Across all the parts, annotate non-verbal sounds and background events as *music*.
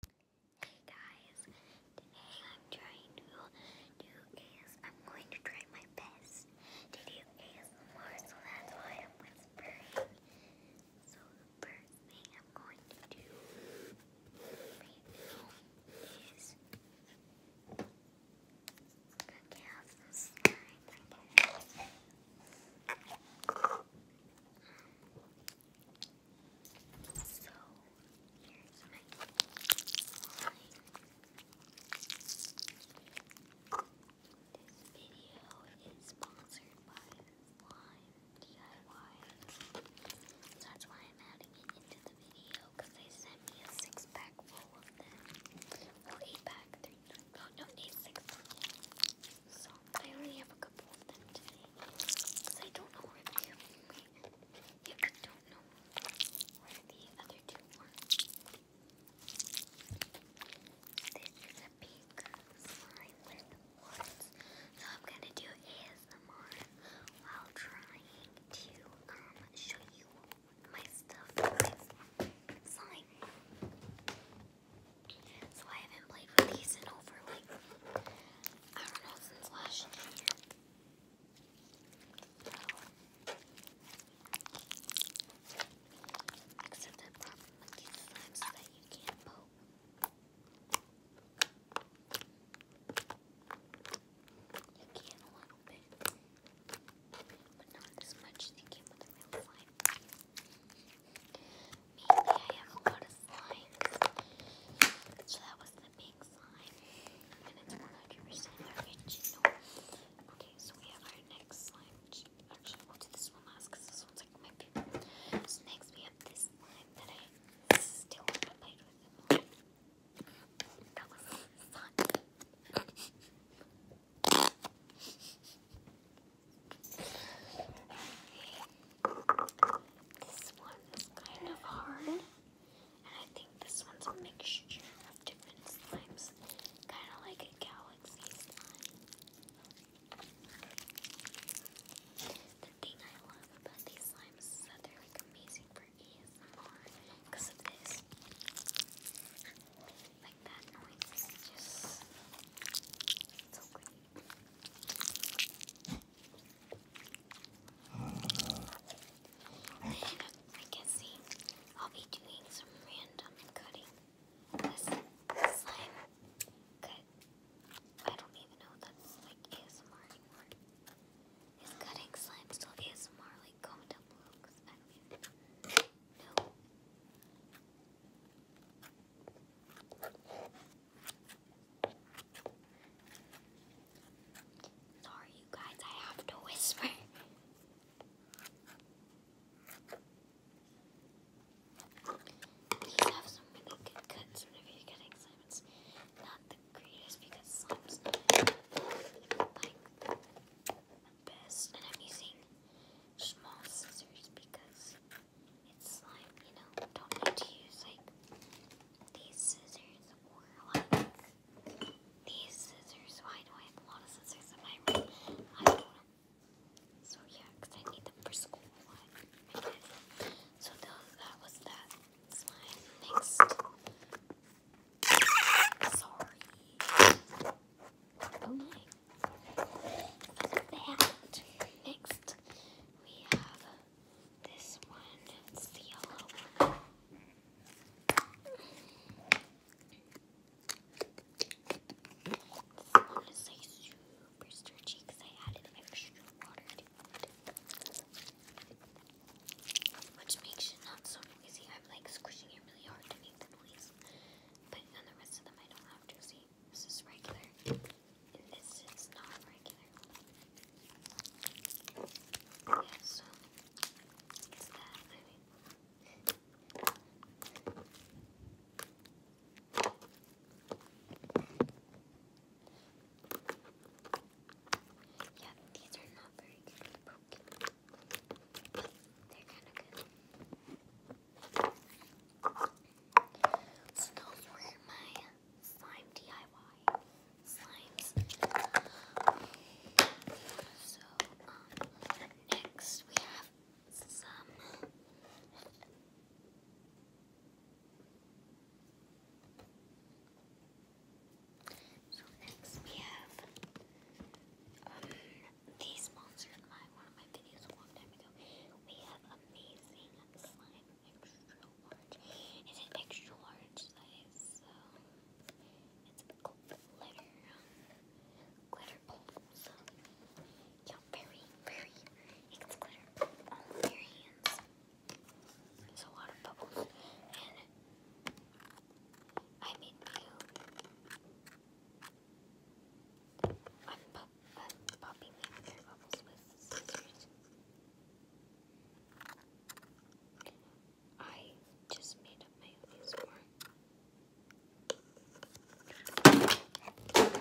Hey guys, today I'm trying to do AS. I'm going to try my best to do ASMR, so that's why I'm whispering. So the first thing I'm going to do is okay, have some slime. So here's my slime. DIY. that's why I'm adding it into the video because they sent me a six pack full of them. Oh, eight pack. Three, no, no, eight, six. So I only have a couple of them today. Because I don't know where the other two are. This is a pink slime with words. So I'm gonna do ASMR while trying to um show you my stuff. Slime. So I haven't played with these in over like, I don't know, since last year. Except the problem with these slimes is that you can't poke. You can a little bit, but not as much as you can with a real slime. Maybe I haven't got a slime. So that was the big slime. And it's 100% original. Okay, so we have our next slime. Actually, we'll do this one last this one's like my favorite. So next we have this slime that I still haven't played with. That was fun. *laughs* This one's kind of hard, and I think this one's a mixture of different slimes, kind of like a galaxy slime. The thing I love about these slimes is that they're like amazing for ASMR because of this. Like that noise is just so great. Then uh. I can see I'll be doing some random cutting. This slime cut. I don't even know that's like ASMR anymore. Is cutting slime still ASMR? Like comment down below I don't know. No. Sorry, you guys, I have to whisper. These have some really good cuts, whenever you get excitements. Not the greatest because slime's like the best, and I'm using small scissors because it's slime, you know. Don't need to use like these scissors or like these scissors. Why do I have a lot of scissors in my room? I don't know. So yeah, because I need them for school. I guess. So those, that was that slime. Next. Sorry. Oh my. Next, we have this one. It's the yellow one. This one is super sturdy because I added extra water to it. Which makes it not so noisy. I'm like squishing it really hard to make the noise. But on the rest of them I don't have to. this is regular. And this is not regular. Yeah, so it's that, I mean. Yeah, these are not very good. They're So those were my slime DIY So um, next we have some. So next we have um, they sponsored my one of my videos a long time ago. We have amazing slime extra large. It's an extra large size, so it's a cool glitter glitter balls. Yeah, very, very it's glitter on their hands. There's a lot of bubbles and I mean you. i I'm popping bubbles with scissors. I just made up my own form.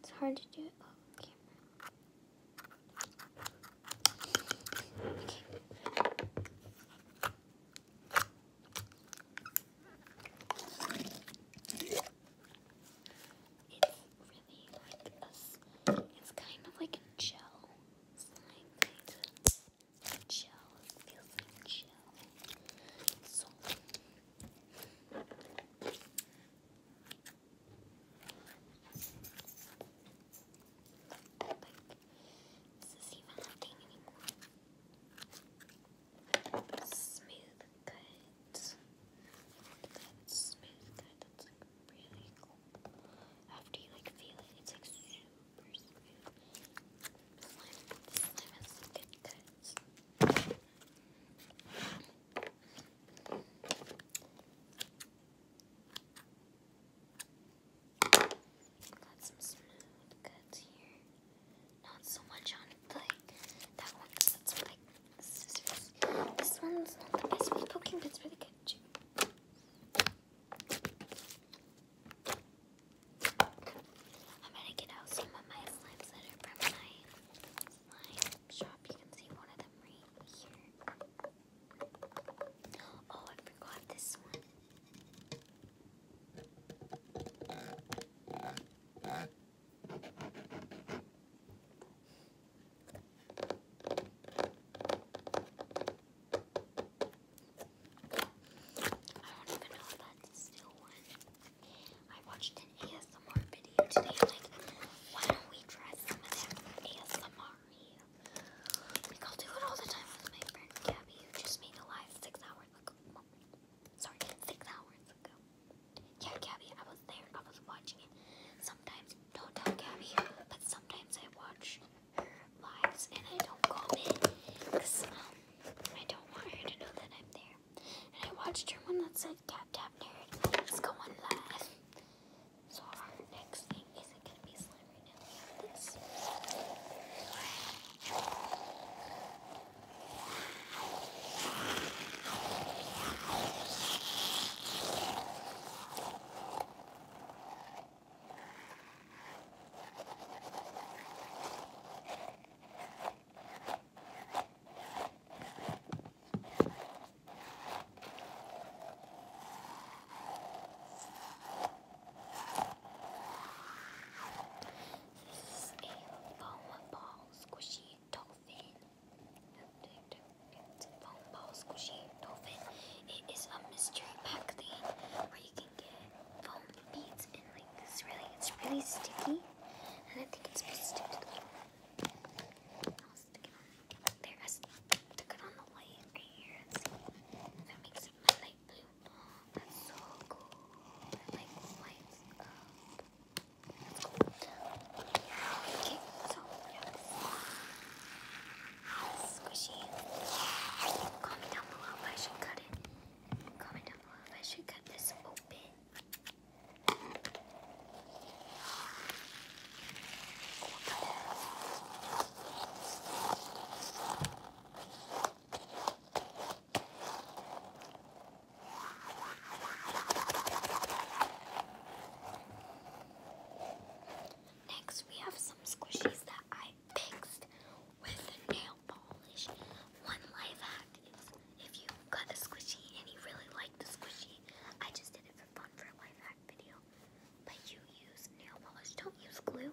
It's hard to do it off camera really like a, it's kind of like a gel slime kind of gel, it gel. So, like, is this even happening anymore? Smooth cut. Smooth cut. That's like really cool. After you like feel it, it's like super smooth. This cuts. Got some smooth cuts here. Not so much on like that one that's for like scissors. This one's not the best for poking, but it's really good I'm gonna get out some of my slimes that are from my slime shop. You can see one of them right here. Oh, I forgot this one. I don't even know if that's still one. I watched an ASMR video today. like, why don't we dress some of them ASMR? Like, I'll do it all the time with my friend Gabby, who just made a live six hours ago. Sorry, six hours ago. Yeah, Gabby, I was there. I was watching it. Sometimes, don't tell Gabby, but sometimes I watch her lives and I don't comment um, I don't want her to know that I'm there. And I watched her one that said Tap Tap Nerd. Let's go on live. So our next thing isn't gonna be slime right now. this. This is a foam ball squishy dolphin. It's a foam ball squishy dolphin. It is a mystery pack thing where you can get foam beads and like this really, it's really sticky. And I think it's supposed to stick to the I'll stick it on there. I stuck it on the light right here. that makes it light blue. that's so cool. lights up. That's cool. yeah, squishy. Comment down below if I should cut it. Comment down below if I should cut this open. Next, we have some squishies that I fixed with nail polish. One life hack is if you got a squishy and you really like the squishy, I just did it for fun for a life hack video. But you use nail polish, don't use glue.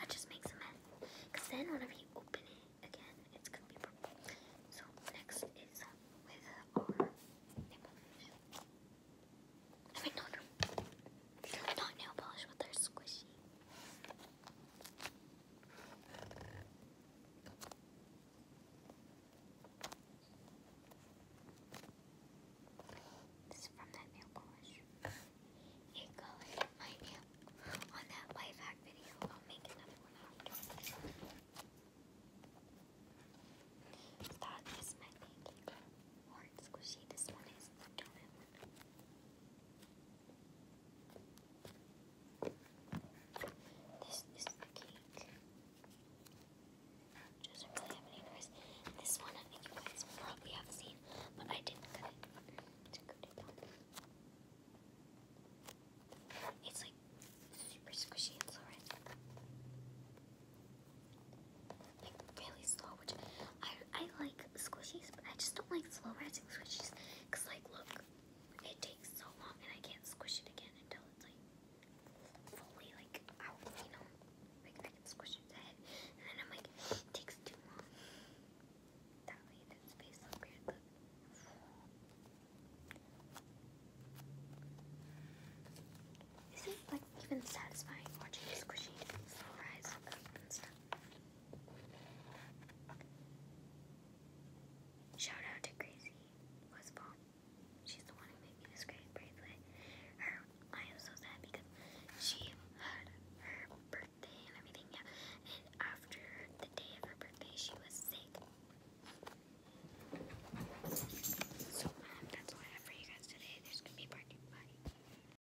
That just makes a mess. Because then whenever you open it again, it's going to be purple. So next is with our nail polish. Not nail polish, but they squishy. This is from that nail polish. You go my nail on that life hack video. I'll make another one That is my baking. squishy. This one is the donut one. This is the cake. Um, doesn't really have any noise. This one I think you guys probably have seen, but I didn't cut it. It's like super squishy and slow like really slow, which I I like squishies, but I just don't like slow rising squishies. Cause like, look, it takes so long and I can't squish it again until it's like fully like out, you know? Like I can squish its head, and then I'm like, it takes too long. That way, that space looks weird. Look. Is it like even satisfying watching a squishy rise and stuff? Shout out to Crazy Westfall. She's the one who made me this great bracelet. I am so sad because she had her birthday and everything, yeah. And after the day of her birthday, she was sick. So that's all I have for you guys today. There's gonna be part two. Bye.